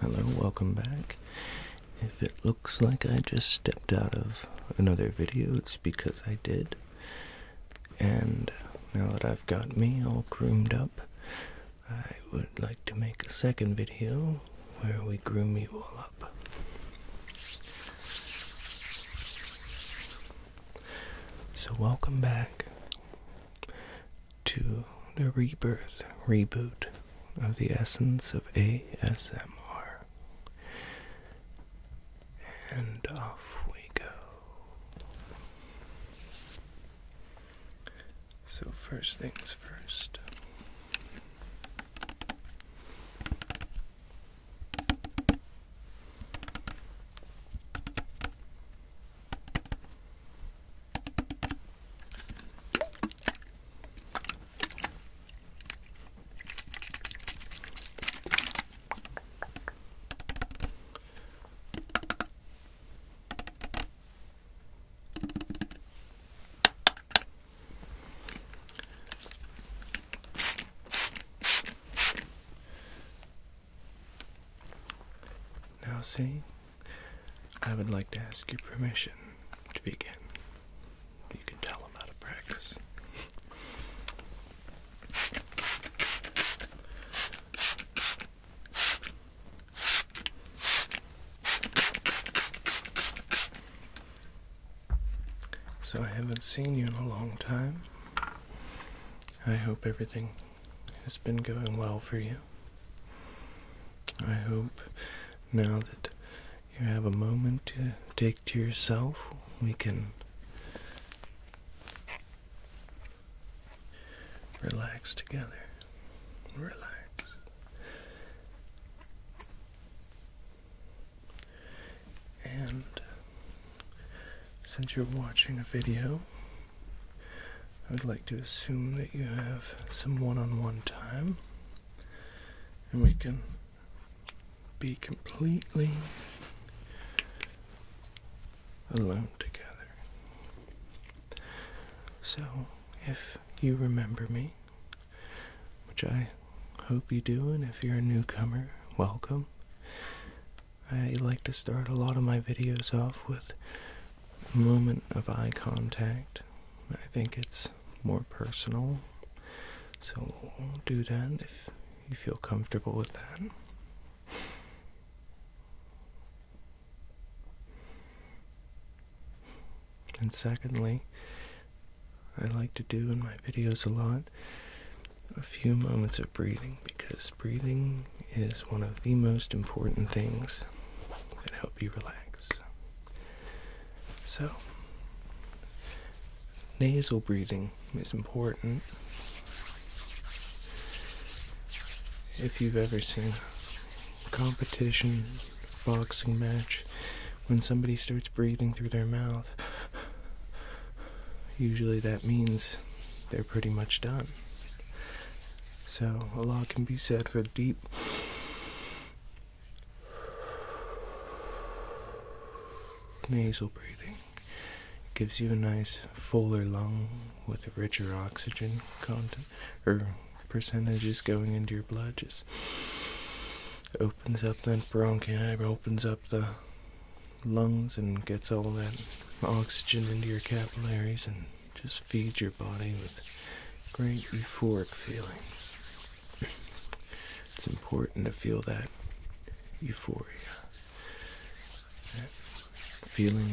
Hello, welcome back. If it looks like I just stepped out of another video, it's because I did. And now that I've got me all groomed up, I would like to make a second video where we groom me all up. So, welcome back to the rebirth reboot of the essence of ASMR. And off we go. So, first things first. Now, see, I would like to ask your permission to begin. You can tell i out of practice. So, I haven't seen you in a long time. I hope everything has been going well for you. I hope now that you have a moment to take to yourself, we can relax together. Relax. And since you're watching a video, I would like to assume that you have some one on one time and we can be completely alone together. So, if you remember me, which I hope you do, and if you're a newcomer, welcome. I like to start a lot of my videos off with moment of eye contact. I think it's more personal. So do that if you feel comfortable with that. And secondly, I like to do in my videos a lot a few moments of breathing because breathing is one of the most important things that help you relax. So, nasal breathing is important. If you've ever seen a competition, boxing match, when somebody starts breathing through their mouth, usually that means they're pretty much done. So, a lot can be said for deep. Nasal breathing it gives you a nice fuller lung with a richer oxygen content or percentages going into your blood. Just opens up that bronchi, opens up the lungs, and gets all that oxygen into your capillaries and just feed your body with great euphoric feelings. It's important to feel that euphoria, that feeling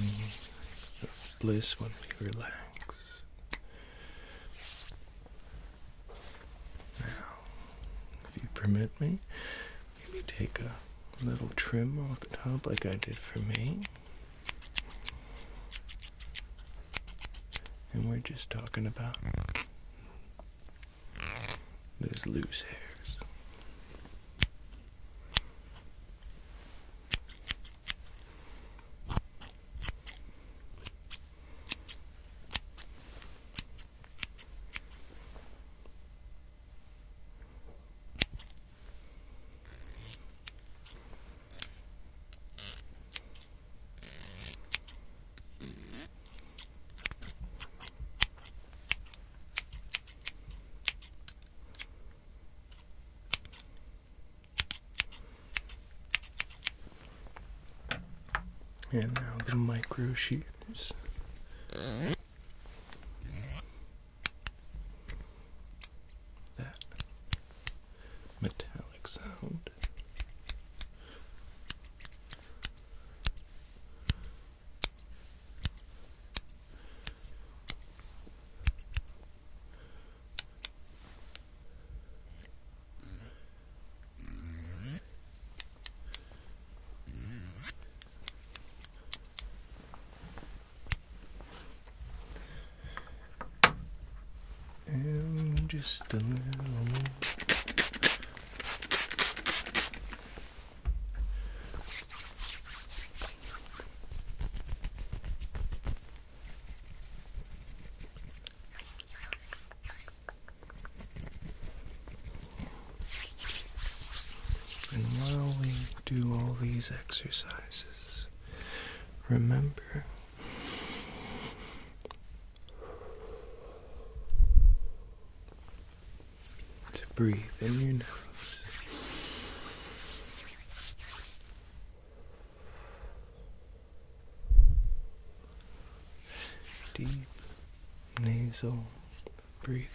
of bliss when we relax. Now, if you permit me, maybe take a little trim off the top like I did for me. And we're just talking about those loose hairs. And now the micro shears that metallic sound. And just a little and while we do all these exercises, remember to breathe in your nose. Deep nasal breathing.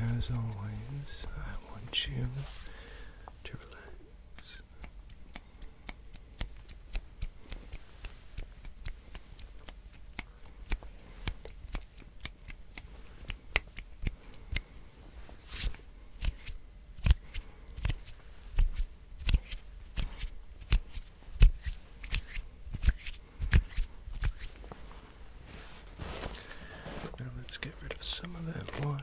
And as always, I want you to relax. Now let's get rid of some of that water.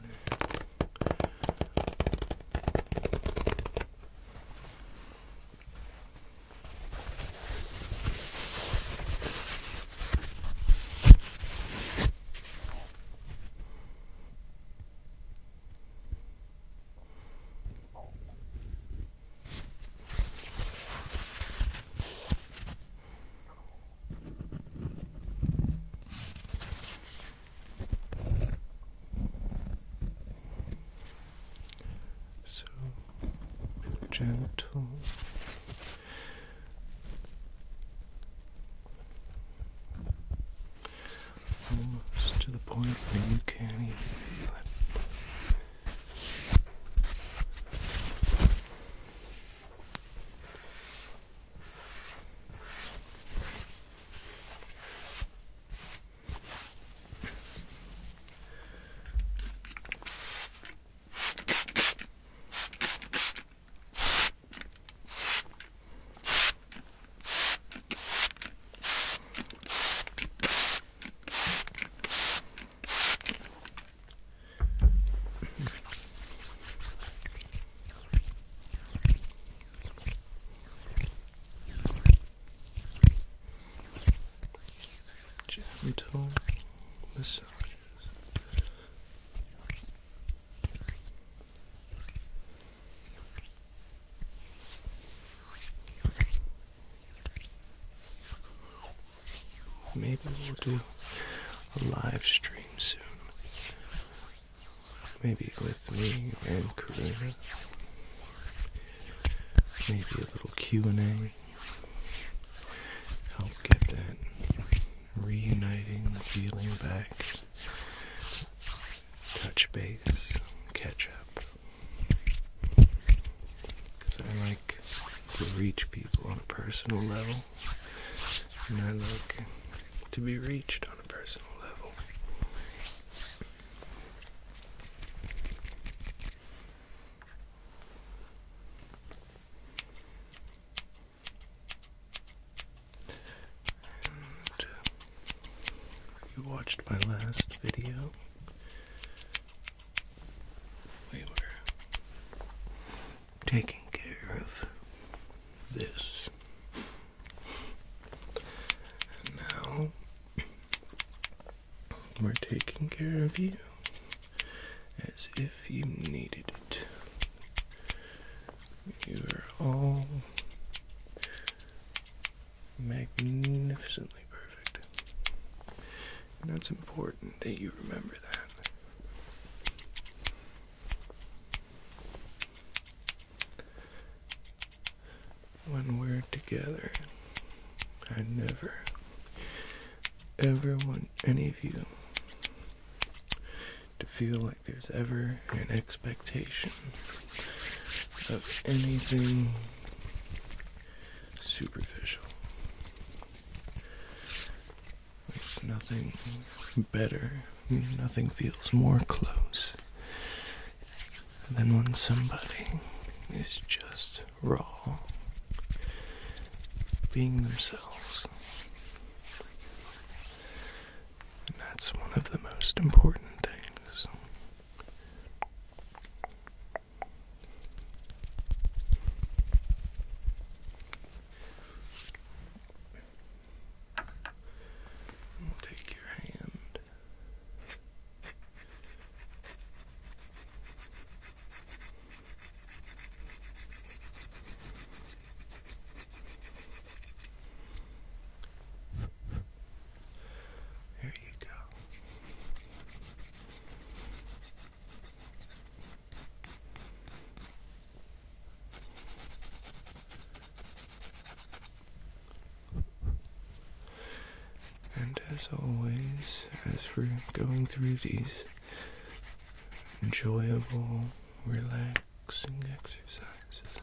So gentle almost to the point where you can't even feel it. Gentle massages. Maybe we'll do a live stream soon. Maybe with me and Karina. Maybe a little Q&A. Help get that reuniting feeling back touch base, catch up. Because I like to reach people on a personal level, and I like to be reached on a personal level. Uh, you watched my last video. We were taking care of this. And now we're taking care of you as if you needed it. You are all magnificently perfect. And that's important that you remember that. When we're together, I never ever want any of you to feel like there's ever an expectation of anything superficial. nothing better, nothing feels more close than when somebody is just raw, being themselves that's one of the most important things. take your hand. There you go. And as always, as we're going through these enjoyable, relaxing, relaxing exercises.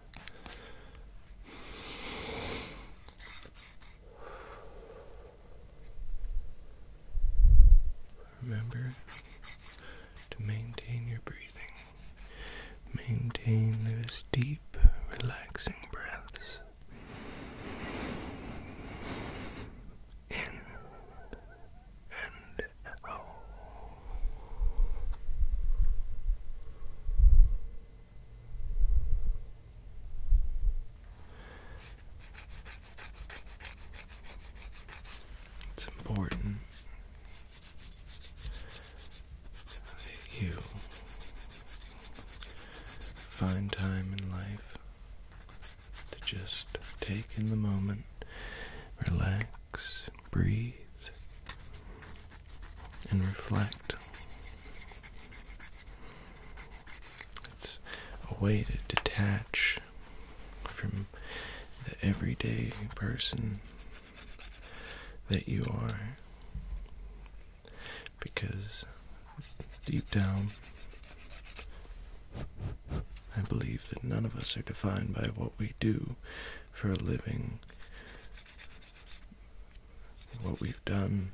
Remember to maintain your breathing. Maintain those deep, relaxing breaths in and it's important that you find time in life to just take in the moment, relax, breathe and reflect. It's a way to detach from the everyday person that you are because deep down I believe that none of us are defined by what we do for a living, what we've done.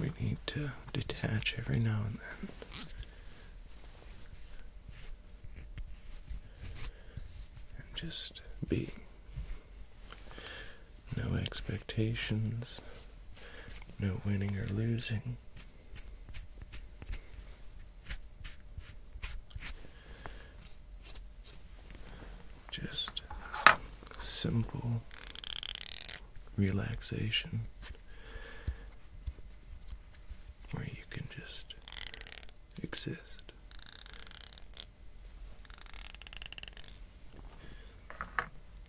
We need to detach every now and then. And just be. No expectations, no winning or losing. Just simple relaxation where you can just exist.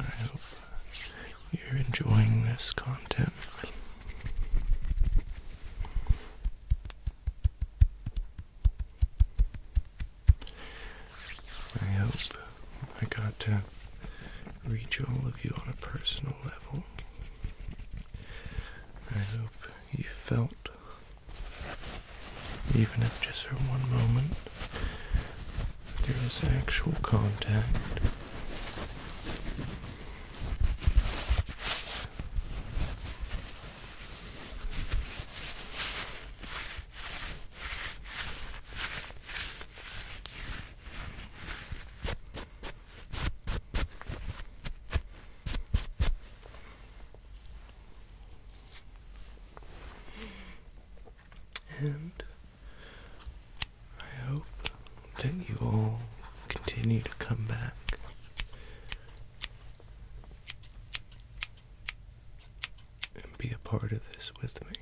I hope you're enjoying this content. I hope I got to reach all of you on a personal level. I hope you felt, even if just for one moment, there is actual contact. And I hope that you all continue to come back. And be a part of this with me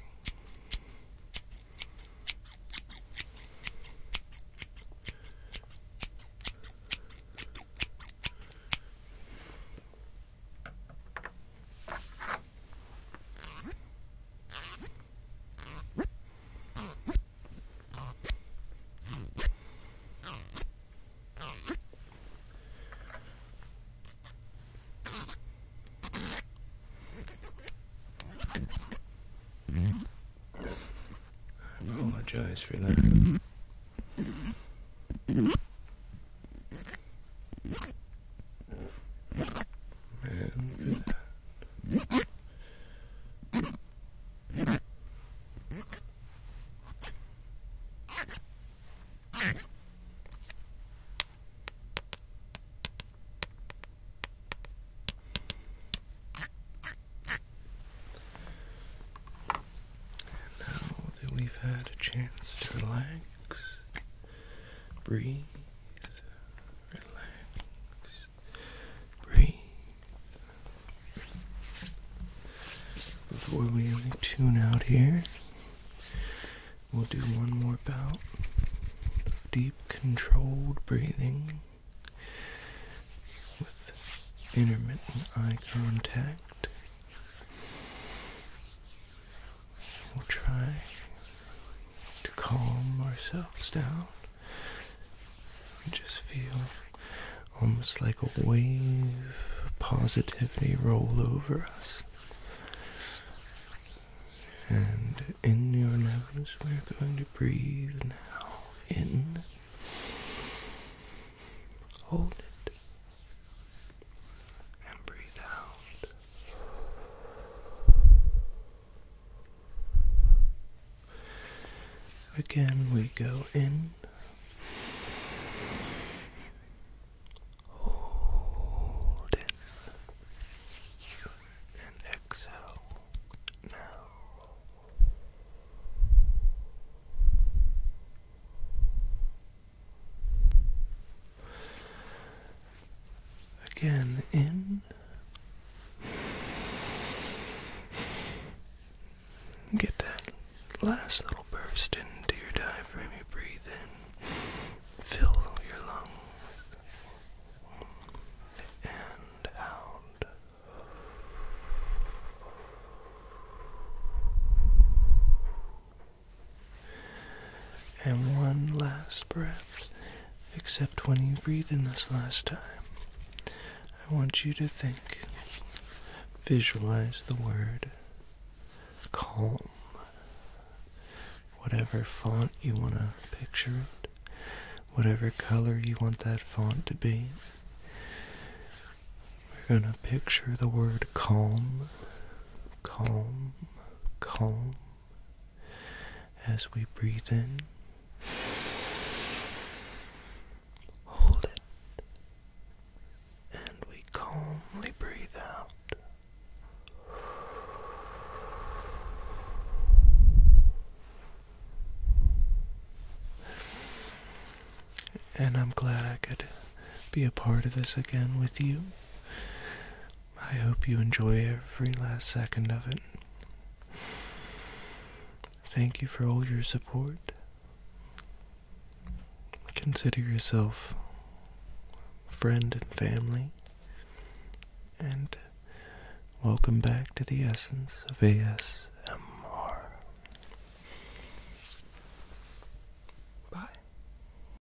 apologize for that. And now that we've had a chance to relax, Breathe. Relax. Breathe. Before we tune out here, we'll do one more bout of deep, controlled breathing with intermittent eye contact. We'll try to calm ourselves down. We just feel almost like a wave positively roll over us. And in your nose, we're going to breathe now. In. Hold it. And breathe out. Again, we go in. Hold And exhale now. Again, in. Get that last little burst into your diaphragm. You breathe in, fill your lungs, and out. And one last breath, except when you breathe in this last time, I want you to think, visualize the word calm. Whatever font you want to picture it, whatever color you want that font to be. We're going to picture the word calm, calm, calm as we breathe in. Hold it. And we calmly breathe out. And I'm glad I could be a part of this again with you. I hope you enjoy every last second of it. Thank you for all your support. Consider yourself friend and family, and welcome back to the essence of ASMR. Bye.